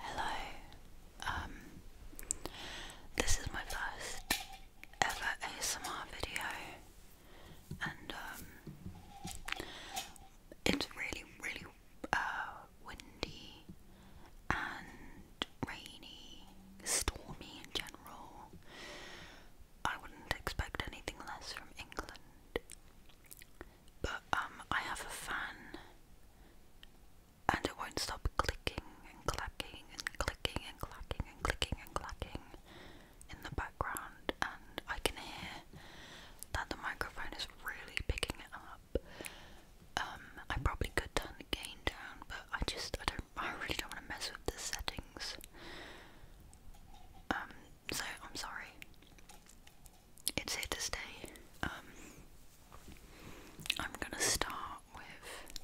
Hello. Um, this is my first ever ASMR video and um, it's really really uh, windy and rainy, stormy in general. I wouldn't expect anything less from England but um, I have a fan and it won't stop clicking and clacking and clicking and clacking and clicking and clacking in the background, and I can hear that the microphone is really picking up. Um, I probably could turn the gain down, but I just I don't I really don't want to mess with the settings. Um, so I'm sorry it's here to stay. Um, I'm gonna start with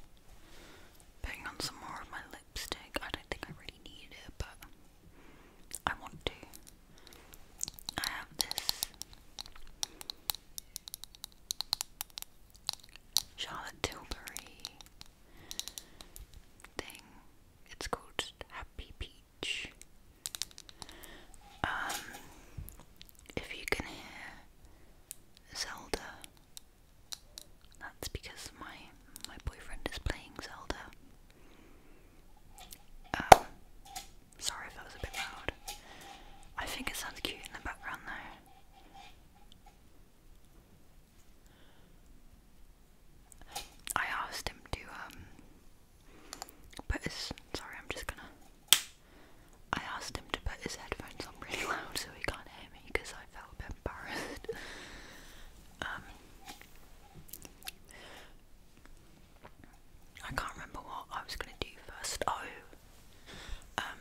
putting on some more of my lipstick. I don't think I really need it, but I want to. I have this Charlotte Tilbury thing. It's called Happy Peach. Um, if you can hear Zelda, that's because my my boyfriend is playing Zelda. Um, sorry if that was a bit loud. I think it sounds cute in the background though. I asked him to um but sorry, I'm just gonna. I asked him to put his headphones on really loud so he can't hear me because I felt embarrassed. um, I can't remember what I was gonna do first. Oh, um,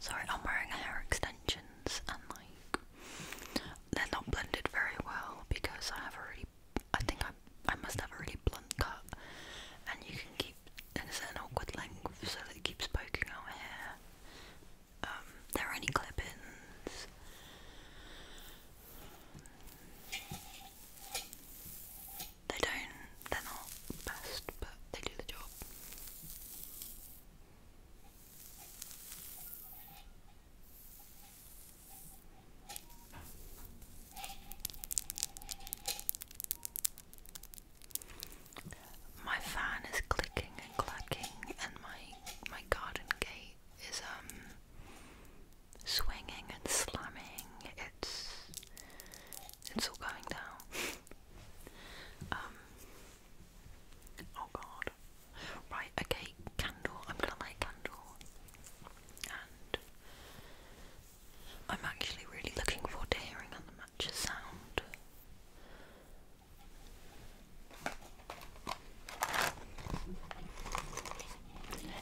sorry, I'm wearing hair extensions and like they're not blended very well because I have a I think I, I must have a really blunt cut and you can keep in a certain awkward length so that it keeps poking out Hair. Um, there are any clippings. They don't, they're not best, but they do the job. My fan is clicking and clacking, and my my garden gate is um swinging and slamming. It's it's all going down. um. Oh God. Right. Okay. Candle. I'm gonna light candle. I'm actually really looking forward to hearing how the matches sound.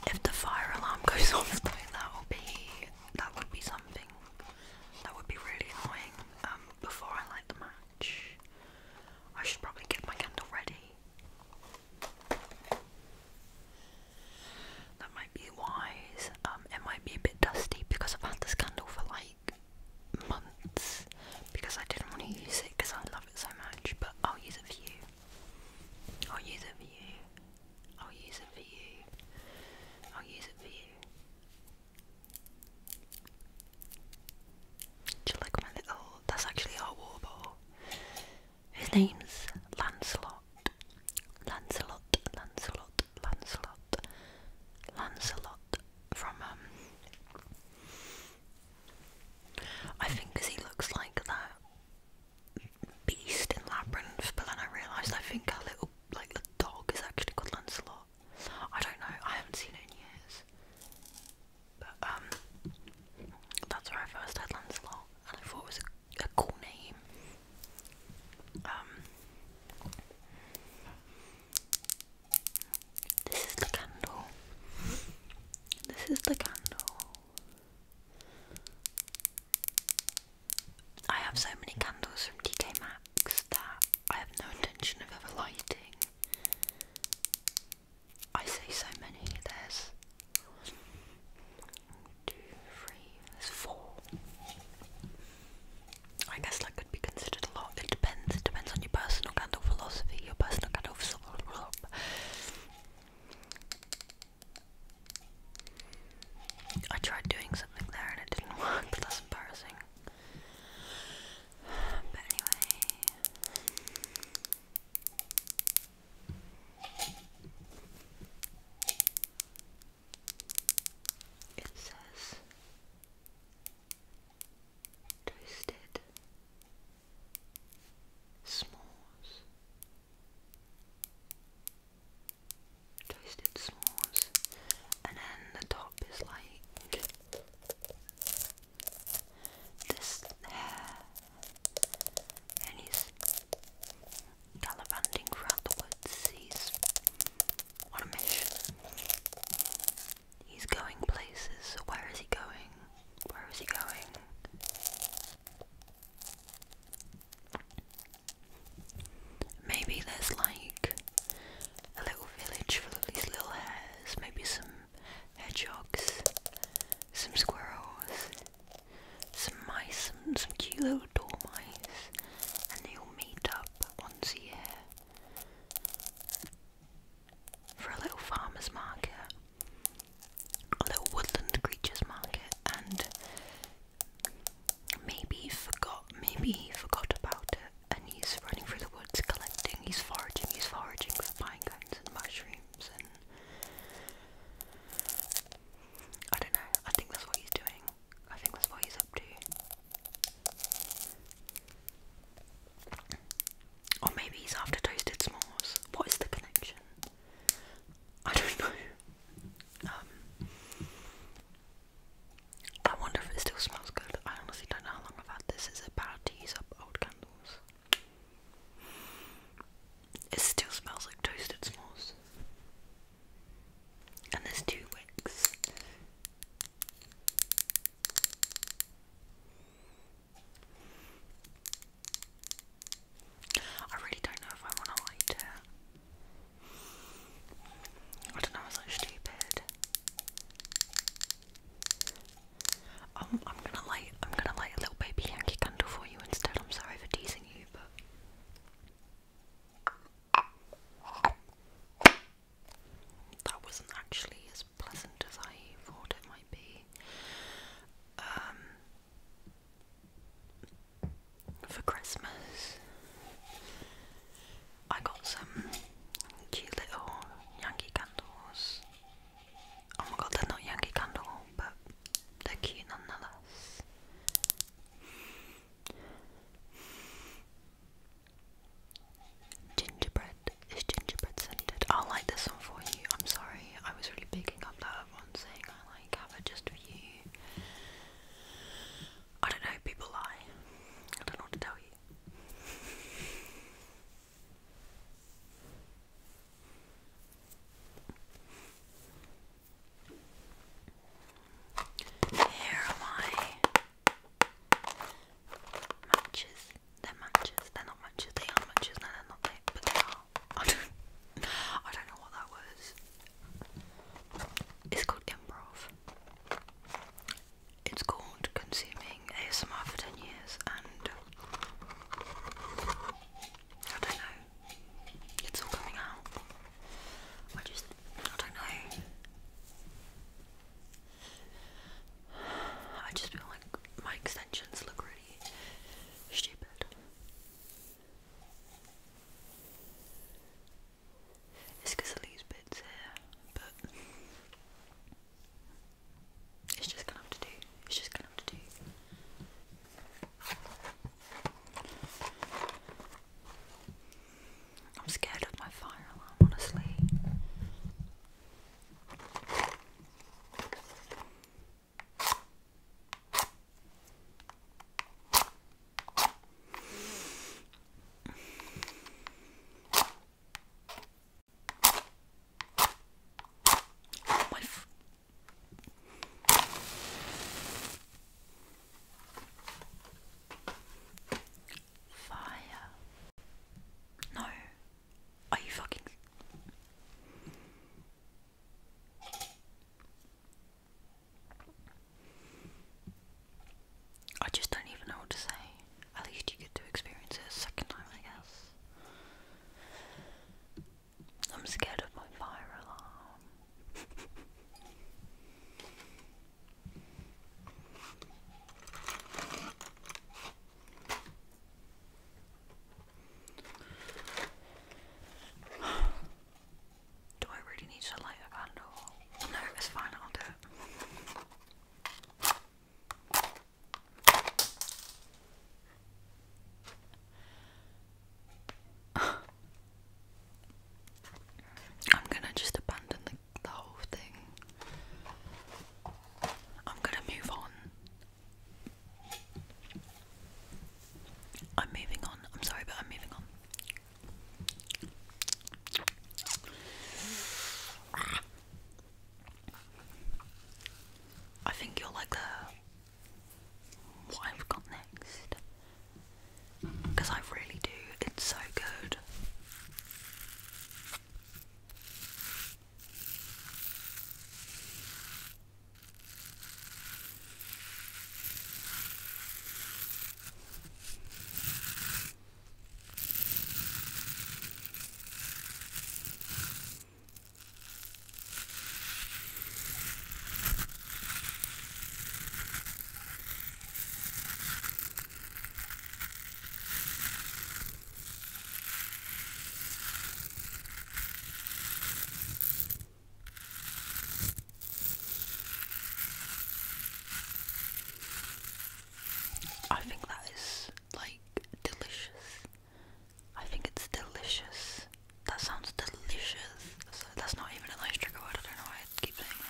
If the fire alarm goes off that will be that would be something. That would be really annoying. Um, before I light the match. I should probably get my candle ready. That might be wise. Um, it might be a bit dusty because I've had this candle for like months because I didn't want to use it because I love it so much. But I'll use it for you. I'll use it for you. I'll use it for you. I'll use it for you. Do you like my little? That's actually our war bottle. His name's Lancelot. Lancelot, Lancelot, Lancelot, Lancelot from um, I think he looks like that beast in Labyrinth, but then I realised I think a little like the dog is actually called Lancelot. I don't know, I haven't seen in years. But um that's where I first heard Lancelot, and I thought it was a, cool name. Um, this is the candle. This is the candle. I have so many candles from TK Maxx that I have no intention of ever lighting. I see so many. There's two, three, there's four. I guess that could be considered a lot. It depends. It depends on your personal kind of philosophy, your personal kind of I tried doing something there and it didn't work, that's embarrassing. But anyway. It says toasted s'mores, toasted s'mores, and then the top is like this hair and he's gallivanting throughout the woods. He's on a mission. He's going places. Where is he going? Where is he going? Maybe there's like a little village full of these little hares, maybe some hedgehogs, some squirrels, some mice, some, cute little dormice, and they all meet up once a year for a little farmer's market, a little woodland creatures market, and maybe he forgot, maybe he forgot about it, and he's running through the woods collecting, he's foraging, he's foraging for pine and mushrooms and I don't know. I think that's what he's doing. I think that's what he's up to. Or maybe he's after toasted s'mores. What is the connection? I don't know. Um, I wonder if it still smells good. I honestly don't know how long I've had this. Is it bad to use up old candles? It still smells like toasted s'mores. And there's two wicks. I really don't know if I want to light it. I don't know, it's like stupid. Um, I'm gonna light. I'm gonna light a little baby Yankee candle for you instead. I'm sorry for teasing you, but. That wasn't actually as pleasant as I thought it might be. Um, for Christmas, I got some cute little Yankee candles Oh my god, they not Yankee Candle, but they cute nonetheless. Gingerbread is gingerbread scented. I'll light this one for you. I'm sorry, I was really picking up that one saying I like have it just for you. I don't know, people lie. I don't know what to tell you. Here are my matches. they matches. they not matches. They matches. No, they not. but they are. I don't, I don't know what that was. It's called improv. It's called consuming ASMR for 10 years and I don't know. It's all coming out. I just, I don't know. I just feel like my extensions look really stupid. It's of these bits here, but it's just gonna have to do. It's just gonna have to do. I'm scared of my fire alarm, honestly. Oh, my Fire. No. Are you fucking. I just don't even know what to say. At least you get to experience it a second time, I guess. I'm scared of my fire alarm. do I really need to light a candle? No, it's fine, I'll do it. I'm gonna just abandon the, the whole thing. I'm gonna move on. I'm moving on. I'm sorry, but I'm moving on. I think you're like the what I've got next because I really do, it's so good. I think that is like delicious. I think it's delicious. That sounds delicious. that's not even a nice trick. I don't know why I keep saying that.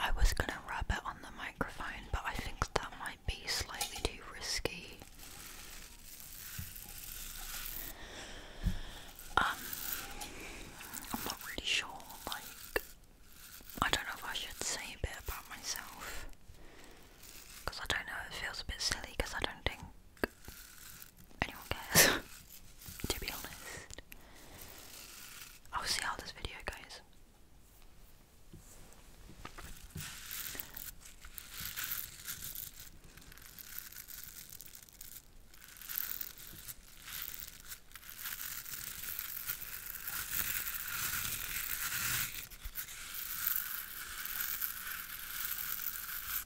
I was going to rub it on the microphone, but I think that might be slightly too risky. Um, I'm not really sure, like, I don't know if I should say a bit about myself. Because I don't know, it feels a bit silly because I don't think anyone cares, to be honest. I'll see how this video goes.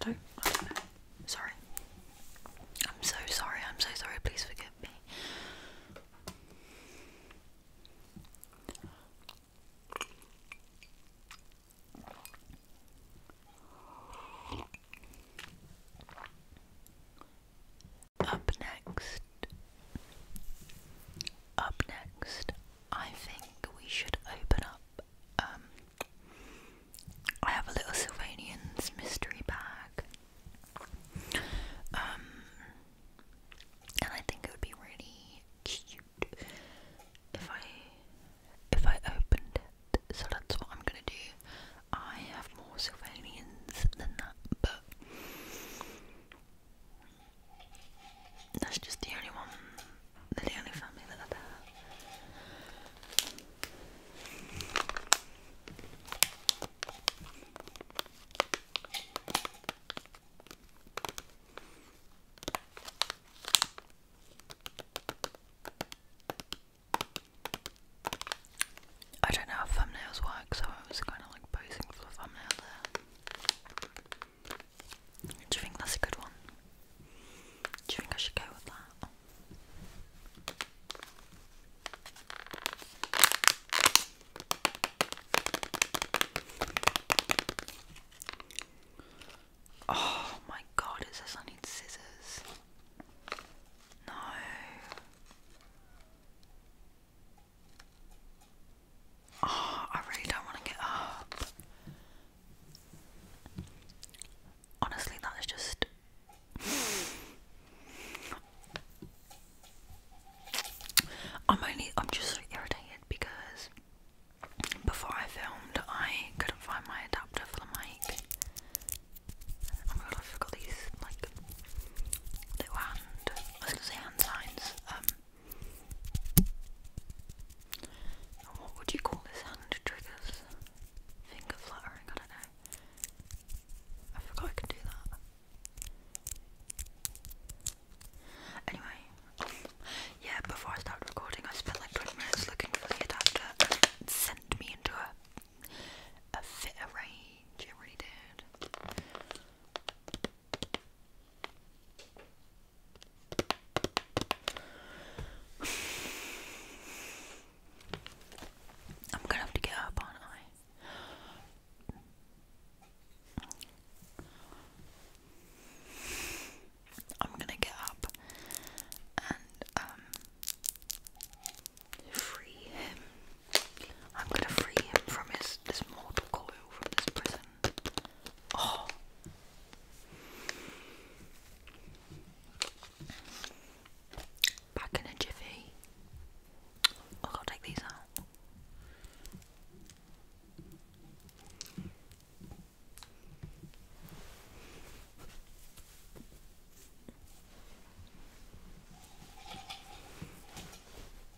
I don't, Sorry. I'm so sorry. I'm so sorry. Please forgive me. Up next, up next, I think we should open up. Um, I have a little Sylvanian's mystery bag, um, and I think it would be really cute if I if I opened it. So that's what I'm gonna do. I have more Sylvanians than that, but that's just the only one, the only family that I've I don't know how thumbnails work, so I was kind of like posing for the thumbnail there. Do you think that's a good one? Do you think I should go with that? Oh my god, it says I need scissors. No. Oh, I really don't want to get up. Honestly, that is just. I'm only. I'm just so irritated because before I filmed, I couldn't find my adapter for the mic. Oh my god, I forgot these like little hand I was gonna say hand signs. Um, what would you call this hand triggers? Finger fluttering, I don't know. I forgot I could do that. Anyway, yeah, before I started recording, I spent like 20 minutes looking for the adapter and sent me into a, a fit of rage, it really did. I'm gonna have to get up, aren't I? I'm gonna get up and um free him. I'm gonna free him from his this mortal coil from this prison. Oh. Back in a jiffy. i got to take these out.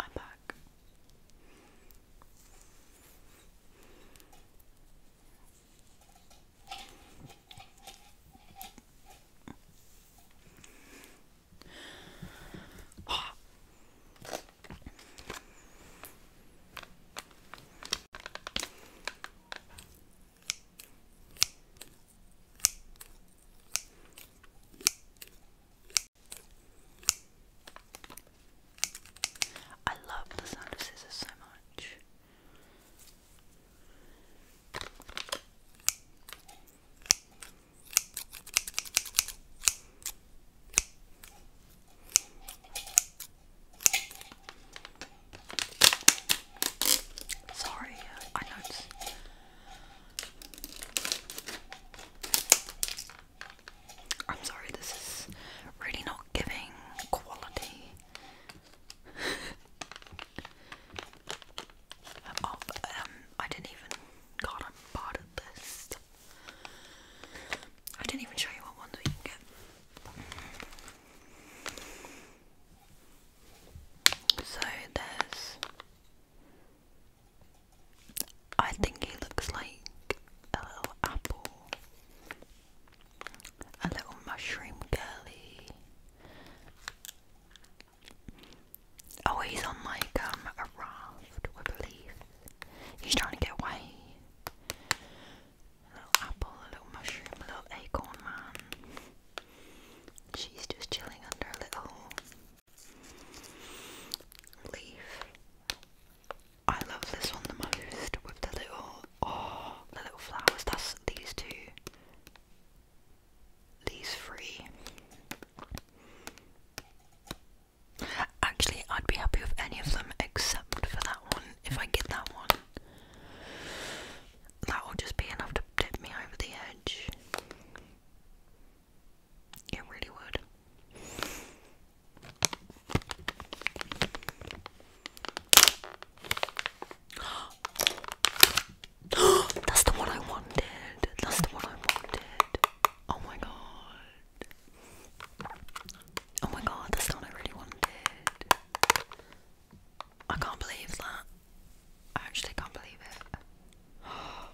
I'm back. Oh. I love the sound of scissors so much. Sorry, uh, I know I'm sorry, this is really not giving quality of. Oh, um, I didn't even. God, I'm bad at this. I didn't even show you what ones we can get. So there's. I think he looks like a little apple, a little mushroom girly. Oh, he's on like um a raft with a He's trying to get away. A little apple, a little mushroom, a little acorn man. She's just chilling under a little leaf. I love this one the most with the little oh the little flowers. That's these two. These three. Actually, I'd be happy with any of them except for that one. If I get that one, that will just be enough to tip me over the edge. It really would. That's the one I wanted. That's the one I wanted. Oh my god. Oh my god, that's the one I really wanted. I can't believe that. I actually can't believe it.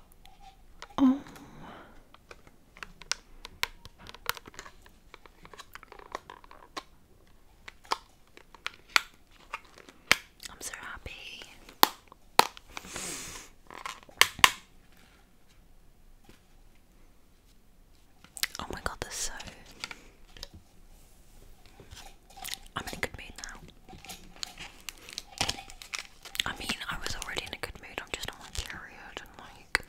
Oh. I'm so happy. Oh my god, they so I'm in a good mood now. I mean, I was already in a good mood, I'm just on my period and like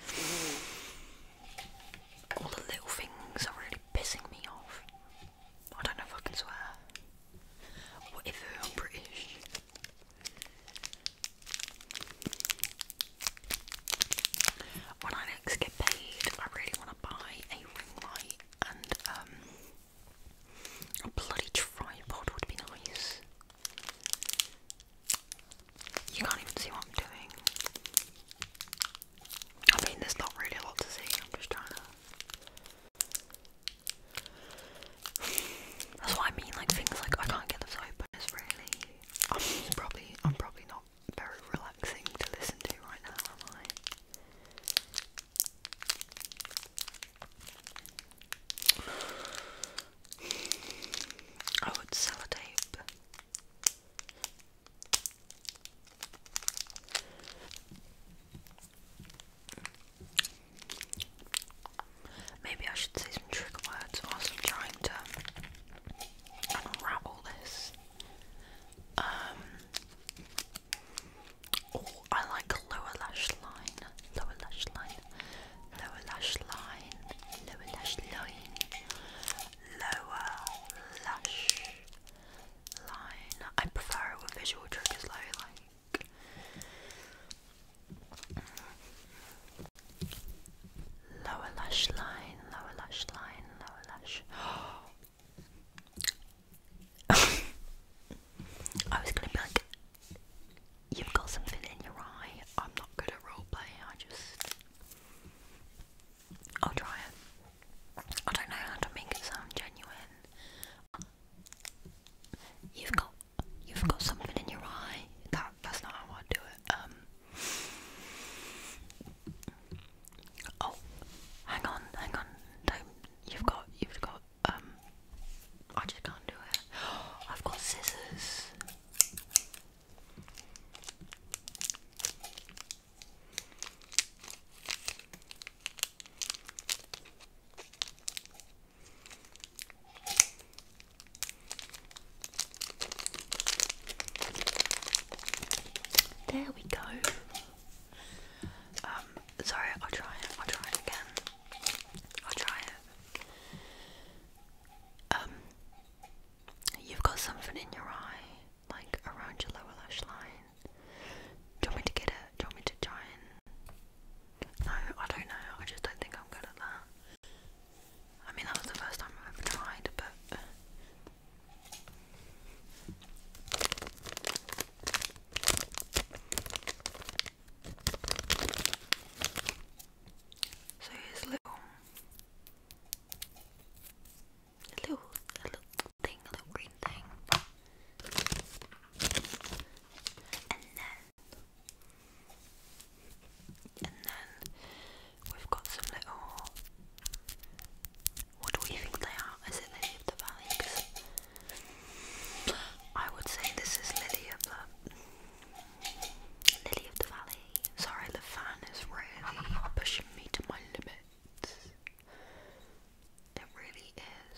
all the little things are really pissing me off. I don't know if I can swear. What I'm British? When I next get paid, I really want to buy a ring light and um, a bloody tripod would be nice. You can't even see what I'm doing. I mean, there's not really a lot to see, I'm just trying to. That's what I mean, like things like I can't get the this open It's really I'm probably I'm probably not very relaxing to listen to right now, am I? Oh, it's sellotape. Maybe I should say some trigger words I'm trying to unravel this. Um, Oh, I like a lower lash line, lower lash line, lower lash line, lower lash line, lower lash line. I prefer it with visual triggers though, like. Lower lash line, lower lash line, lower lash. Oh, I was gonna be like, you've got something in your eye. I'm not good at role play. I just, I'll try it. I don't know how to make it sound genuine. You've got, you've got something in your eye. that's not how I do it. Um. Oh, hang on, hang on. Don't. You've got. You've got. Um. I just can't do it. I've got scissors. There we go. Um, sorry, I'll try it, I'll try it again. I'll try it. Um, you've got something in your eye, like around your lower lash line. want me to get it? want me to try and... No, I don't know, I just don't think I'm good at that. I mean, that was the first time I ever tried, but so here's a little, little, little thing, little green thing, and then, and then we've got some little what do we think they are? Is it Lily of the Valley? Cause I would say this is Lily of the Lily of the Valley. Sorry, the fan is really pushing me to my limits. It really is.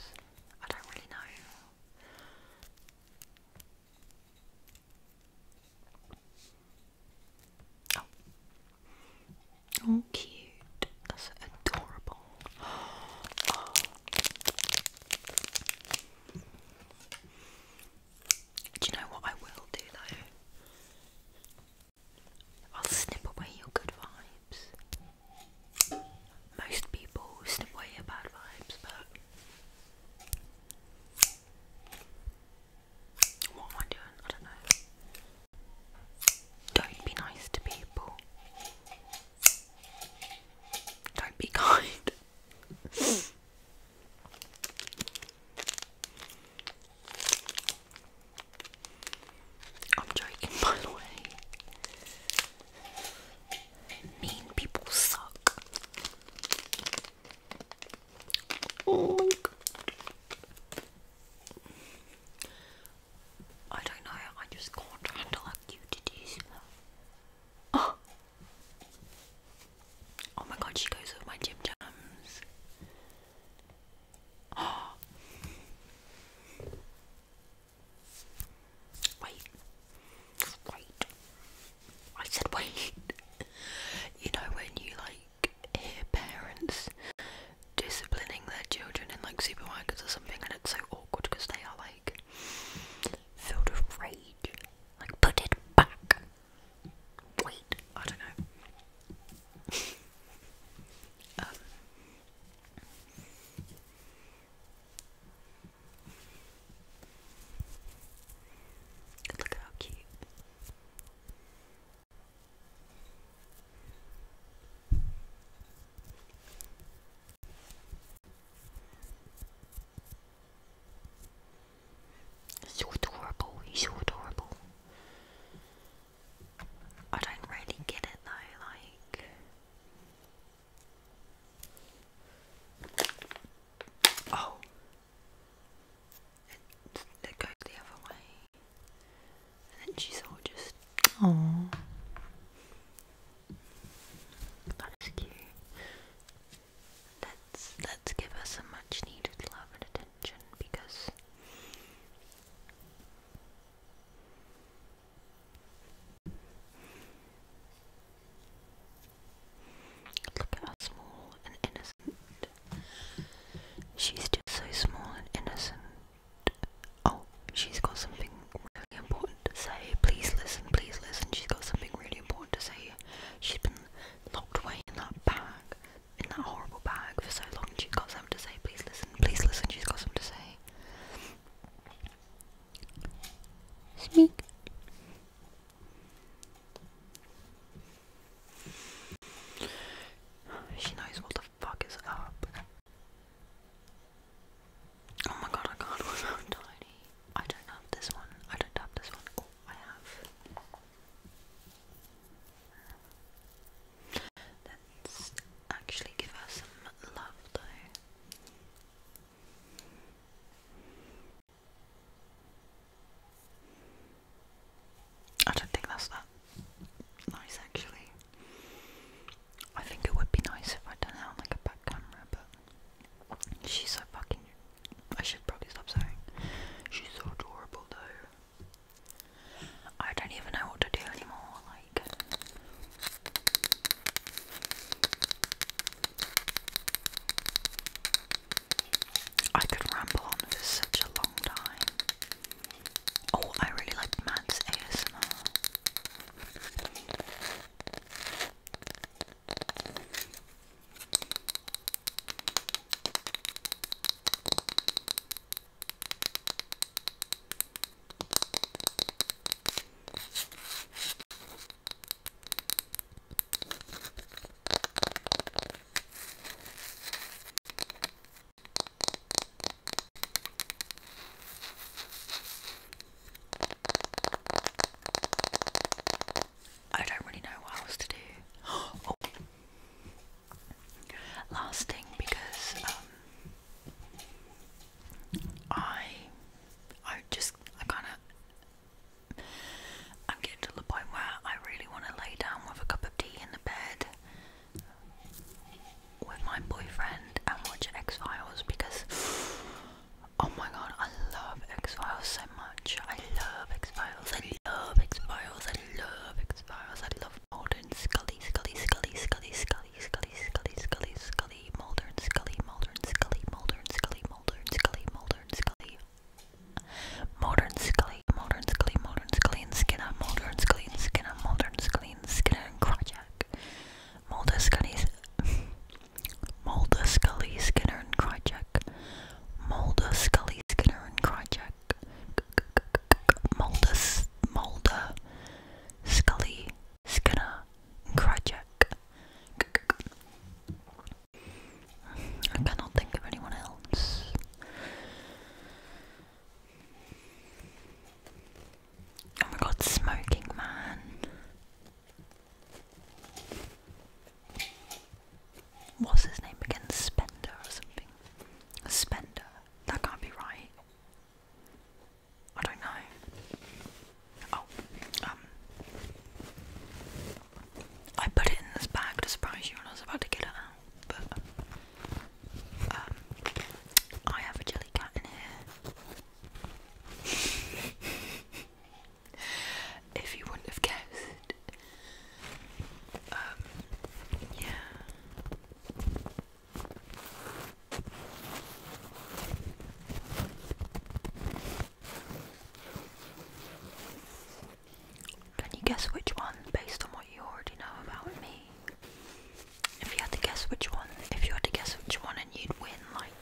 I don't really know. Oh. Oh, cute. That's adorable. Do you know what I will do though? I'll snip away your good vibes. Most people snip away your bad vibes, but. What am I doing? I don't know. Don't be nice to people. Don't be kind. I'm joking, by the way. Mean people suck. Oh my I don't know, I just can't handle how cute it is. Oh, my god, she goes with my Jim Jams. Oh. Wait, wait. I said wait. you know when you like hear parents disciplining their children in like supermarkets or something, and it's so awkward because they are like filled with rage. Like, put it back. Wait, I don't know. Um, look how cute. So adorable, he's so adorable. I don't really get it though, like. Oh, it, goes the other way. And she's all just, oh, that's cute. Let's let's give her some much needed love and attention because look how small and innocent. She's just so small and innocent. Oh, she's got something really important to say. Please listen, please listen. She's got something really important to say. She's been locked away in that bag, in that horrible bag for so long. She's got something to say. Please listen, please listen. She's got something to say. Speak. She knows what the fuck is up. Oh my god, I can't. tiny. I don't have this one. I don't have this one. Oh, I have. Let's actually give her some love, though. I don't think that's that nice, actually. I think it would be nice if I'd done it like a back camera, but she's so fucking. I should probably stop saying. She's so adorable though. I don't even know what to do anymore, like. I could ramble on for such a long time. Oh, I really like Matt's ASMR. I don't really know what else to do. oh. because um, I, I just, I kind of, I'm getting to the point where I really want to lay down with a cup of tea in the bed with my boyfriend and watch X Files because oh my god, I love X Files so much. I love X Files. I love X Files. I love X Files. I love Mulder and Scully, Scully, Scully, Scully, Scully, Scully, Scully, Scully, Scully, Mulder and Scully, Mulder and Scully, Mulder and Scully, Mulder and Scully, Mulder and Scully. Modern Scully, Modern Scully, Modern Scully and Skinner, Modern Scully and Skinner, Modern Scully Skinner, and Krychak. Mulder, Scully, Mulder, Scully, Skinner, and Krychak. Mulder, Scully, Skinner, and Krychak. Mulder, Mulder, Scully, Skinner, and Krychak. I cannot think of anyone else. Oh my god, smoking man. What's his name again? Spender or something? Spender. That can't be right. I don't know. Oh, um. I put it in this bag to surprise you when I was about to get out, um, I have a jelly cat in here. if you wouldn't have guessed. Um, yeah. Can you guess which one based on what you already know about me? If you had to guess which one, if you had to guess which one, and you'd win like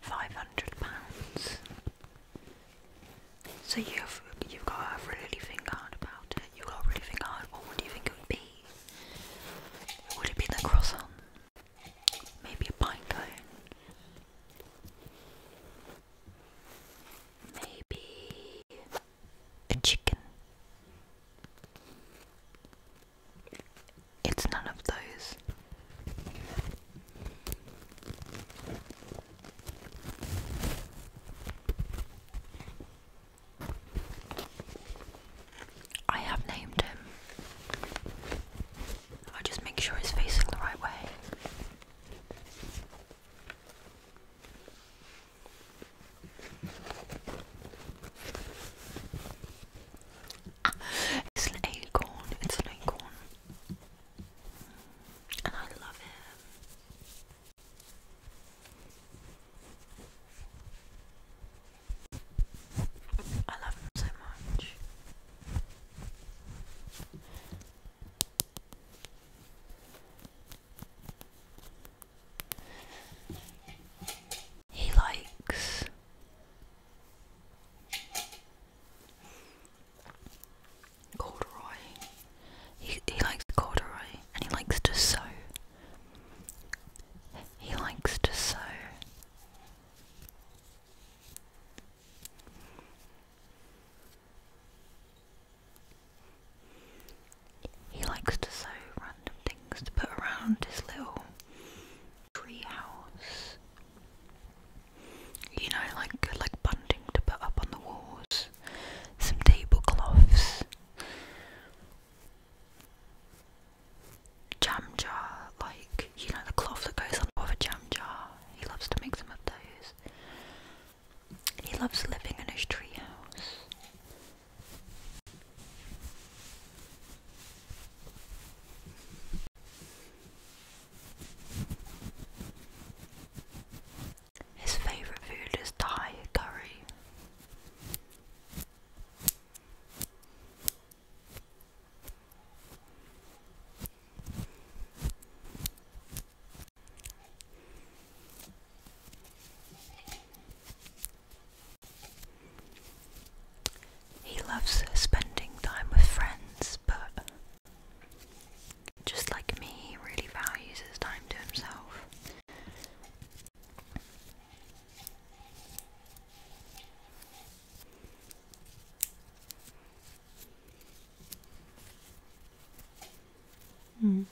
five hundred pounds. So you've you've got to really think hard about it. You've got to really think hard. What would you think it would be? Would it be the croissant? Maybe a pine cone. Maybe a chicken. It's none of those. I have named him. i just make sure he's facing the right way it's an acorn, it's an acorn. And I love it. I love him so much. He likes corduroy. He, he likes corduroy and he likes to sew. He likes to sew. He likes to sew random things to put around his little tree house. You know, like like bunting to put up on the walls, some tablecloths, jam jar, like you know the cloth that goes on top of a jam jar. He loves to make them up those. He loves living in his treehouse. His favorite food is Thai curry. He loves spending time with friends, but just like me, he really values his time to himself. Mm.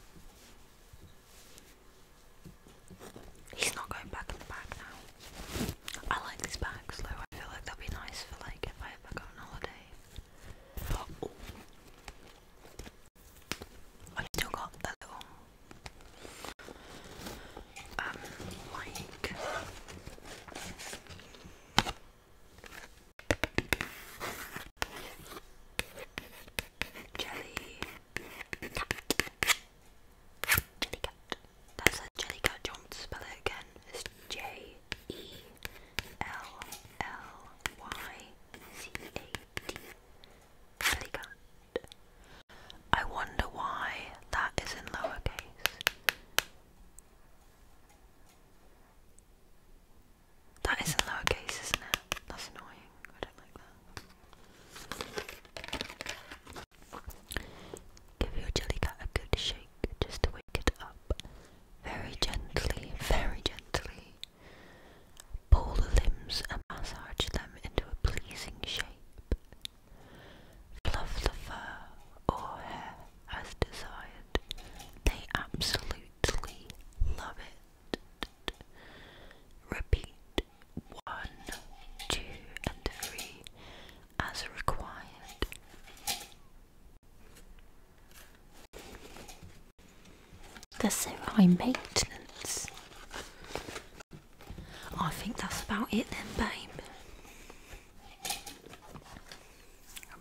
He's not going back in the bag now. I like these bags though. I feel like they'll be nice for like if I ever go on holiday. Oh. i still got that little um like jelly That's a jelly cat. to spell it again? It's J E L L Y C A T. Jelly I wonder why that is in lowercase. That is in lowercase, isn't it? That's annoying. I don't like that. Give your jelly cat a good shake just to wake it up. Very gently, very gently. Pull the limbs and massage them into a pleasing shape. Fluff the fur or hair as desired. They absolutely love it. Repeat one, two, and three as required. they so high maintenance. I think that's about it then, babe.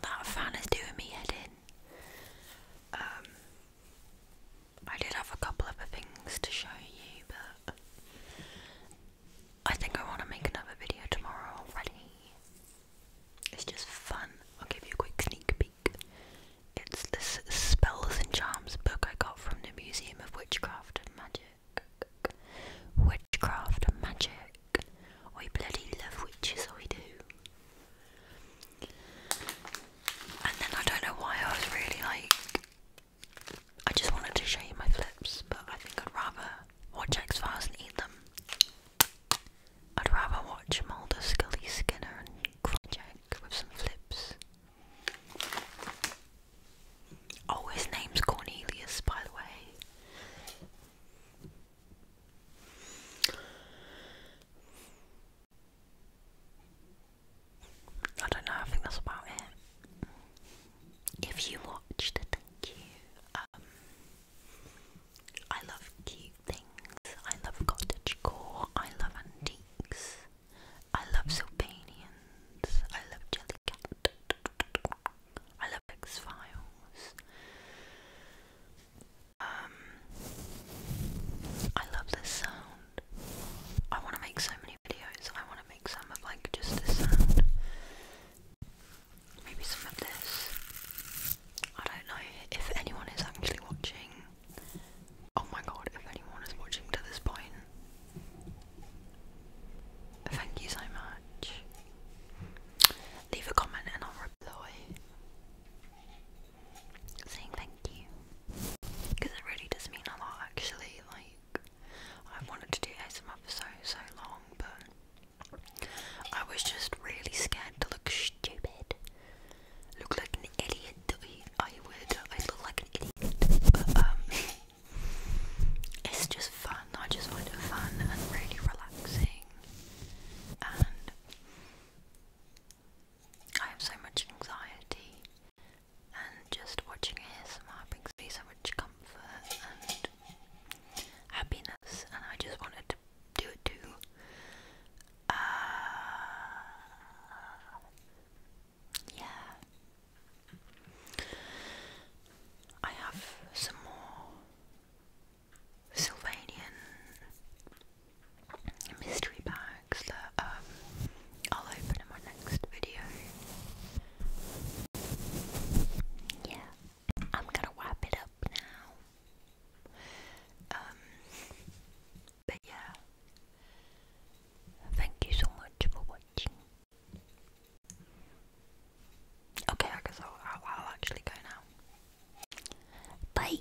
That fan is doing me in. Um, I did have a couple other things to show you, but I think I want to make another video tomorrow already. It's just fun. I'll give you a quick sneak peek. It's this Spells and Charms book I got from the Museum of Witchcraft and Magic. Witchcraft and Magic. I bloody love witches, I do. And then I don't know why I was really like, I just wanted to show you my flips, but I think I'd rather watch X Files and eat them. I'd rather watch Mulder, Scully, Skinner, and Crunchek with some flips. Oh, his name's Cornelius, by the way. I don't know, I think that's about it. If you watched, thank you. Um, I love cute things. I love cottage core. I love antiques. I love Sylvanians. I love Jellycat. I love X Files. Um, I love this sound. I want to make so many videos. I want to make some of like just this sound. Maybe some of this. I don't know if anyone is actually watching. Oh my god, if anyone is watching to this point, thank you so much. Leave a comment and I'll reply saying thank you because it really does mean a lot actually like i wanted to do ASMR for so so long but I was just really scared to look stupid look like an idiot I would I look like an idiot but um it's just fun I just find it fun and really relaxing I have so much anxiety, and just watching somehow brings me so much comfort and happiness, and I just wanted to do it too. Uh, yeah. I have some more Sylvanian mystery bags that um, I'll open in my next video. Yeah, I'm gonna wrap it up now. Um, but yeah, thank you so much for watching. Okay, I guess I'll, I'll, actually go now. Bye!